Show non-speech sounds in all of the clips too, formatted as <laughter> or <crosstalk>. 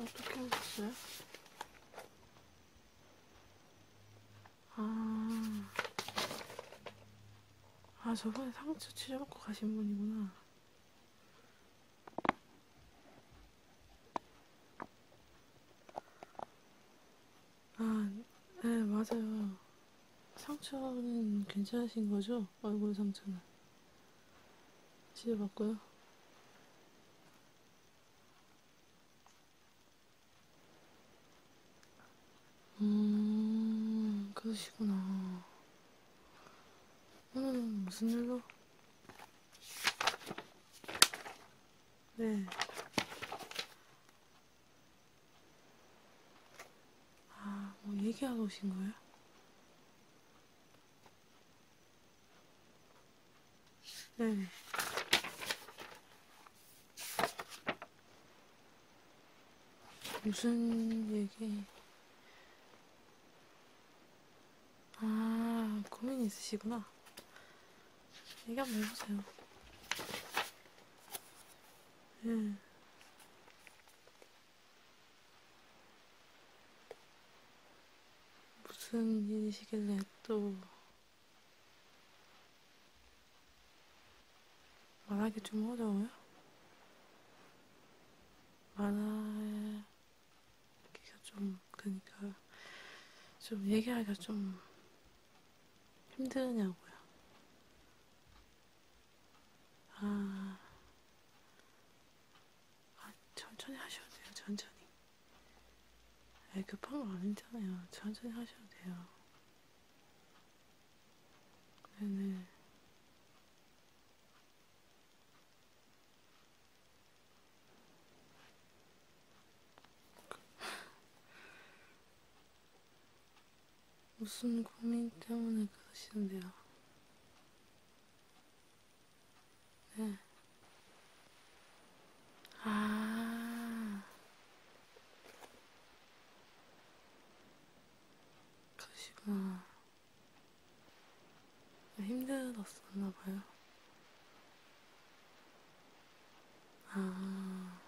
어떻게 하셨어요? 아, 아 저번에 상추 찢어먹고 가신 분이구나. 아, 네, 맞아요. 상처는 괜찮으신 거죠? 얼굴 상처는. 치료 받고요. 음, 그러시구나. 오늘은 무슨 일로? 네. 아, 뭐 얘기하러 오신 거예요? 네. 무슨 얘기? 아, 고민 있으시구나. 얘기 한번 해보세요. 응. 음. 무슨 일이시길래 또 말하기 좀 어려워요? 말하기가 좀 그러니까 좀 얘기하기가 좀 힘드냐고요. 아, 아 천천히 하셔도 돼요. 천천히. 에 급한 거 아니잖아요. 천천히 하셔도 돼요. 네네. 네. 무슨 고민 때문에 그러시는데요? 네. 아. 그러시구나. 네, 힘들었었나봐요. 아.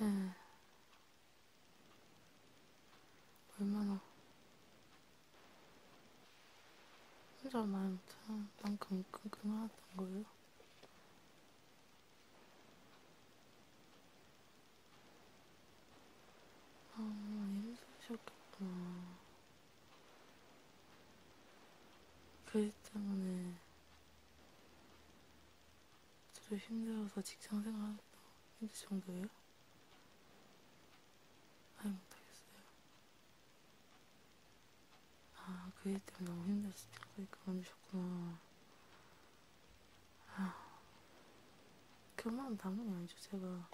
응. 얼마나 혼자 말만 만큼 끙끙하던 거예요? 아, 힘드셨겠구나. 그일 때문에 저도 힘들어서 직장 생활도 힘들 정도예요? 아예 못하겠어요. 아, 그 일 때문에 너무 힘들었을 때까지 그만두셨구나. 그러니까 아, 그만은 당연히 아니죠, 제가.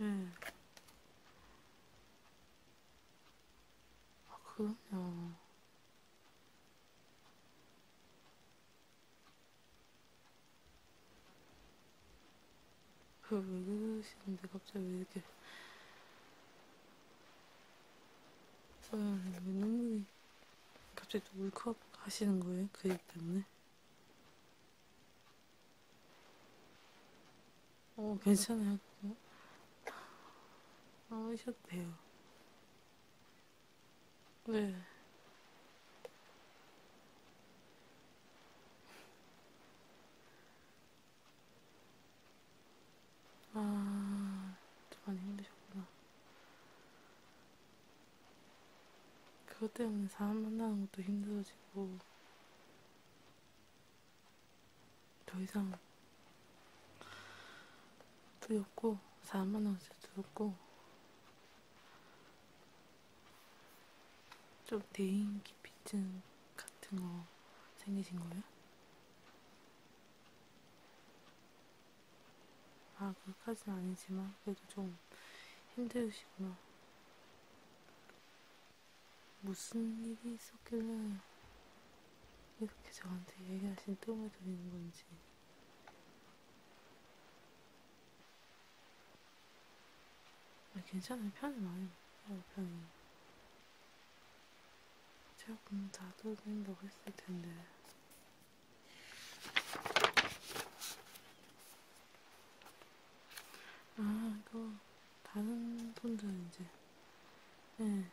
예. 네. 아, 그럼요. 왜 그러시는데 갑자기 왜 이렇게 아, 눈물이 갑자기 또 울컥 하시는 거예요? 그일 때문에? 어, 괜찮아요. 안 어, 오셔도 돼요. 네. 아, 많이 힘드셨구나. 그것 때문에 사람 만나는 것도 힘들어지고, 더 이상 두렵고, 사람 만나는 것도 두렵고, 좀 대인 기피증 같은 거 생기신 거예요? 아, 그까진 아니지만, 그래도 좀 힘드시구나. 무슨 일이 있었길래 이렇게 저한테 얘기하신 뜸을 들이는 건지. 아, 괜찮아요. 편히 많이 먹어요, 편히. 제가 분명 다 돌린다고 했을 텐데. 아, 이거, 다른 분들은 이제, 예, 네,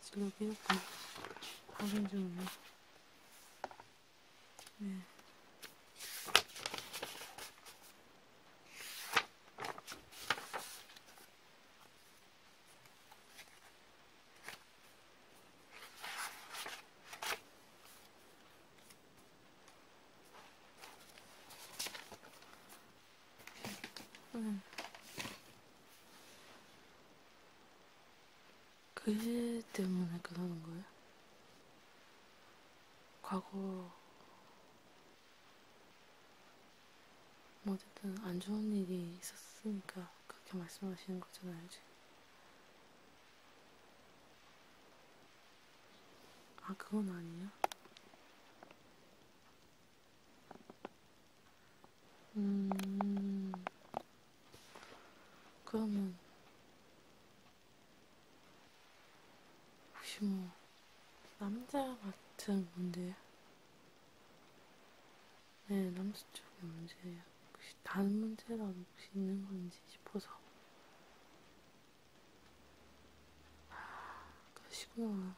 진로 기록과 다른 종류. 네. 음. 그 때문에 그러는 거예요? 과거 뭐 어쨌든 안 좋은 일이 있었으니까 그렇게 말씀하시는 거잖아요 지금 아, 그건 아니야? 음, 그러면, 혹시 뭐, 남자 같은 분들? 네, 남수 쪽의 문제예요. 혹시 다른 문제라도 혹시 있는 건지 싶어서. 아, 그러시구나.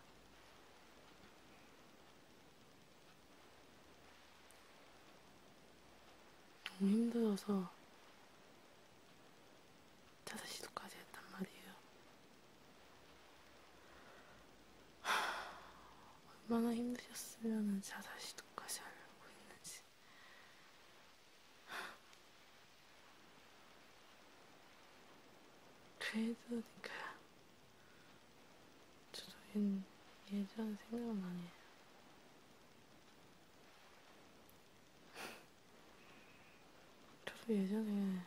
너무 힘들어서 자살 시도까지 했단 말이에요. 하, 얼마나 힘드셨으면 자살시도까지 하려고 했는지. 그래도 니까요. 저도 예전 생각나네. 저도 예전에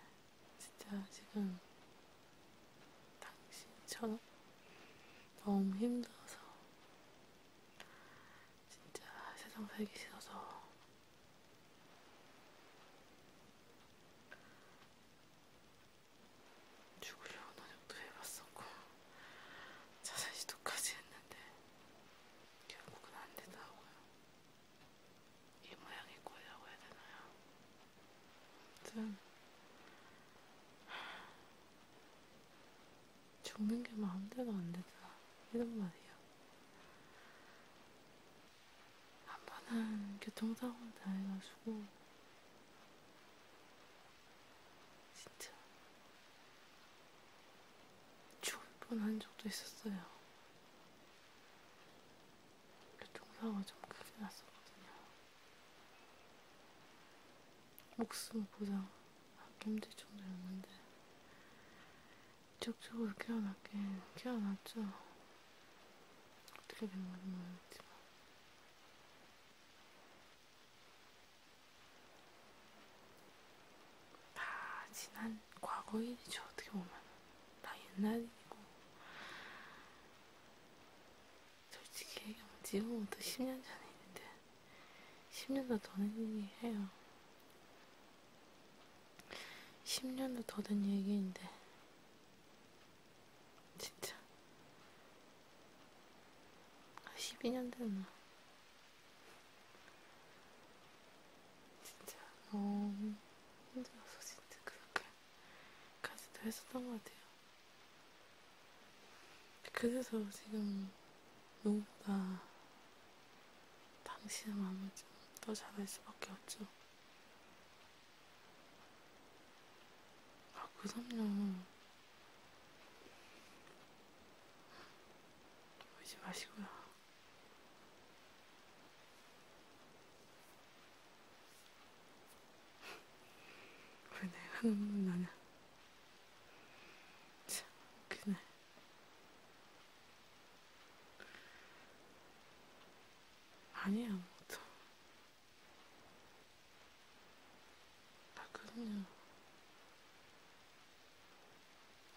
진짜 지금 당신처럼 너무 힘들어서 진짜 세상 살기 싫어서 죽으려고 노력도 해봤었고 자살 시도까지 했는데 결국은 안 되더라고요. 이 모양의 꼴이라고 해야 되나요? 아무튼 죽는 게 마음대로 안 되더라. 이런 말이야. 한 번은 교통사고를 당해가지고, 진짜, 죽을 뻔한 적도 있었어요. 교통사고가 좀 크게 났었거든요. 목숨 보장 아낌질 정도였는데 이쪽쪽으로 깨어났긴 깨어났죠. 어떻게 된 건지 모르겠지만. 다 지난 과거 일이죠, 어떻게 보면. 다 옛날 일이고. 솔직히 얘기하면 지금부터 10년 전에 있는데 10년도 더 된 얘기해요. 10년도 더 된 얘기인데, 진짜. 12년 아, 됐나? 진짜 너무 힘들어서 진짜 그렇게까지도 했었던 것 같아요. 그래서 지금 누구보다 당신의 마음을 좀 더 잘할 수밖에 없죠. 아, 그럼요. 울지 마시고요. <laughs> 왜 내가 눈물 나냐? 참, 그날. 아니야, 아무것도. 아, 그럼요.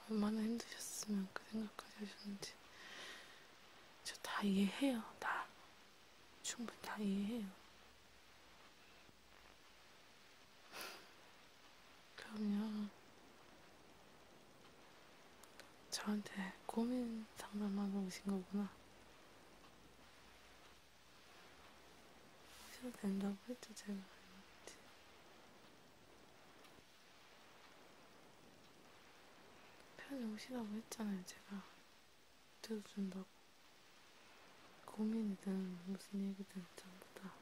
얼마나 힘드셨으면 그 생각까지 하셨는지. 저 다 이해해요, 다. 충분히 다 이해해요. 그러면 저한테 고민 상담하러 오신 거구나. 오셔도 된다고 했죠, 제가. 편히 오시라고 했잖아요, 제가. 들어준다고. 고민이든 무슨 얘기든 전부 다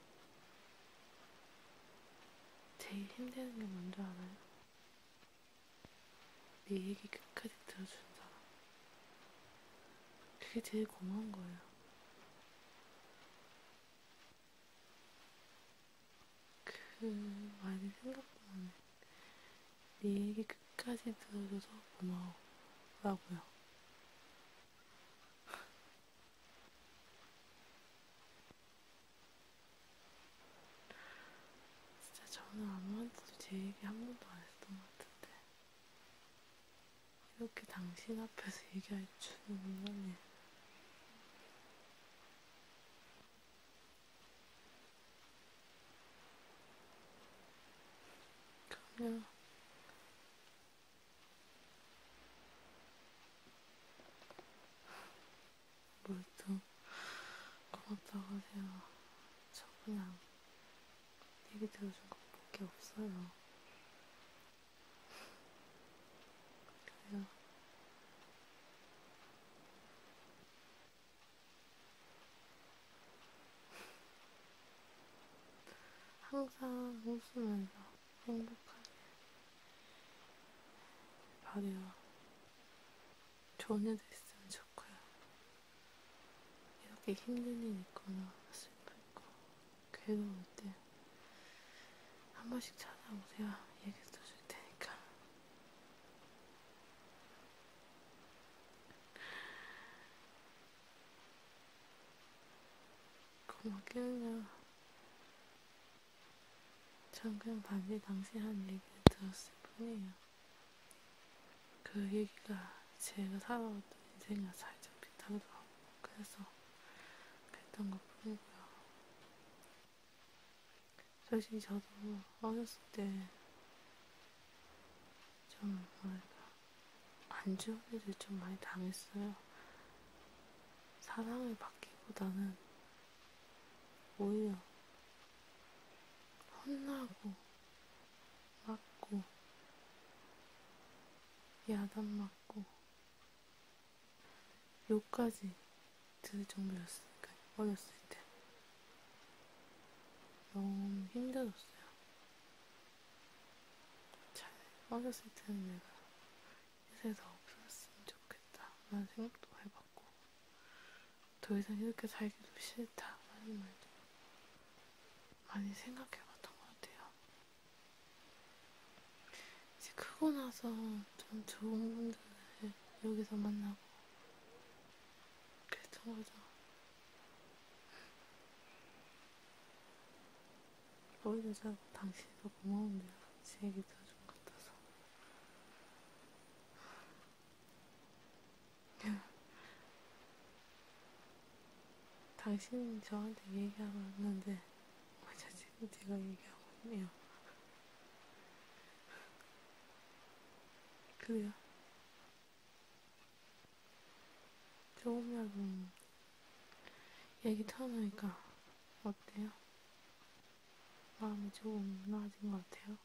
제일 힘드는 게 뭔지 알아요? 네 얘기 끝까지 들어준 사람. 그게 제일 고마운 거예요. 그 말이 생각보다는 네 얘기 끝까지 들어줘서 고마워. 라고요. 진짜 저는 아무한테도 제 얘기 한 번도 안 했던 것 같은데 이렇게 당신 앞에서 얘기할 줄은 몰랐네. 그럼요. 뭘또 고맙다고 하세요. 저 그냥 얘기 들어준 것밖에 없어요. 그래요. 항상 웃으면서 행복하게 말이야. 좋은 애들 있으면 좋고요. 이렇게 힘든 일 있거나 슬플 거, 괴로울 때 한 번씩 찾아오세요. 얘기도 줄 테니까. 고마워요. 전 그냥 반지 당시 한 얘기를 들었을 뿐이에요. 그 얘기가 제가 살아왔던 인생과 살짝 비슷하더라고요. 그래서 그랬던 것 뿐이고요. 솔직히 저도 어렸을 때좀 뭐랄까 안 좋은 일을 좀 많이 당했어요. 사랑을 받기보다는 오히려 혼나고 맞고 야단 맞고 욕까지 들을 정도였으니까 어렸을 때 너무 힘들었어요. 잘 어렸을 때는 내가 이 세상 없었으면 좋겠다 라는 생각도 해봤고 더 이상 이렇게 살기도 싫다 라는 말도 많이 생각해봤던 것 같아요 이제 크고 나서 좀 좋은 분들을 여기서 만나고 그랬던 거죠 어린 여자고 당신이 더 고마운데요. 제 얘기 들어준 것 같아서. 당신이 저한테 얘기하고 왔는데, 어제 지금 제가 얘기하고 있네요. 그래요. 조금이라도 얘기 터놓으니까 어때요? 마음이 조금 나아진 것 같아요?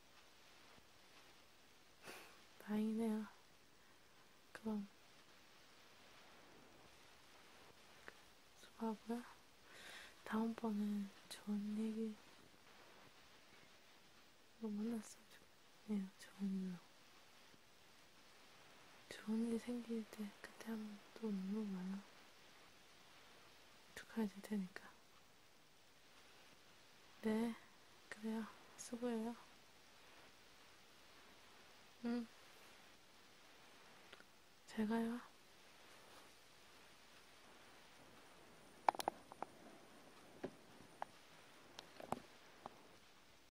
다행이네요. 그럼 수고하고요. 다음번은 좋은 얘기 로 만났으면 좋겠네요. 좋은 일로. 좋은 일 생길 때 그때 한 번 또 오는 거야. 축하해 줄 테니까. 네, 그래요. 수고해요. 응. 음. 잘 가요.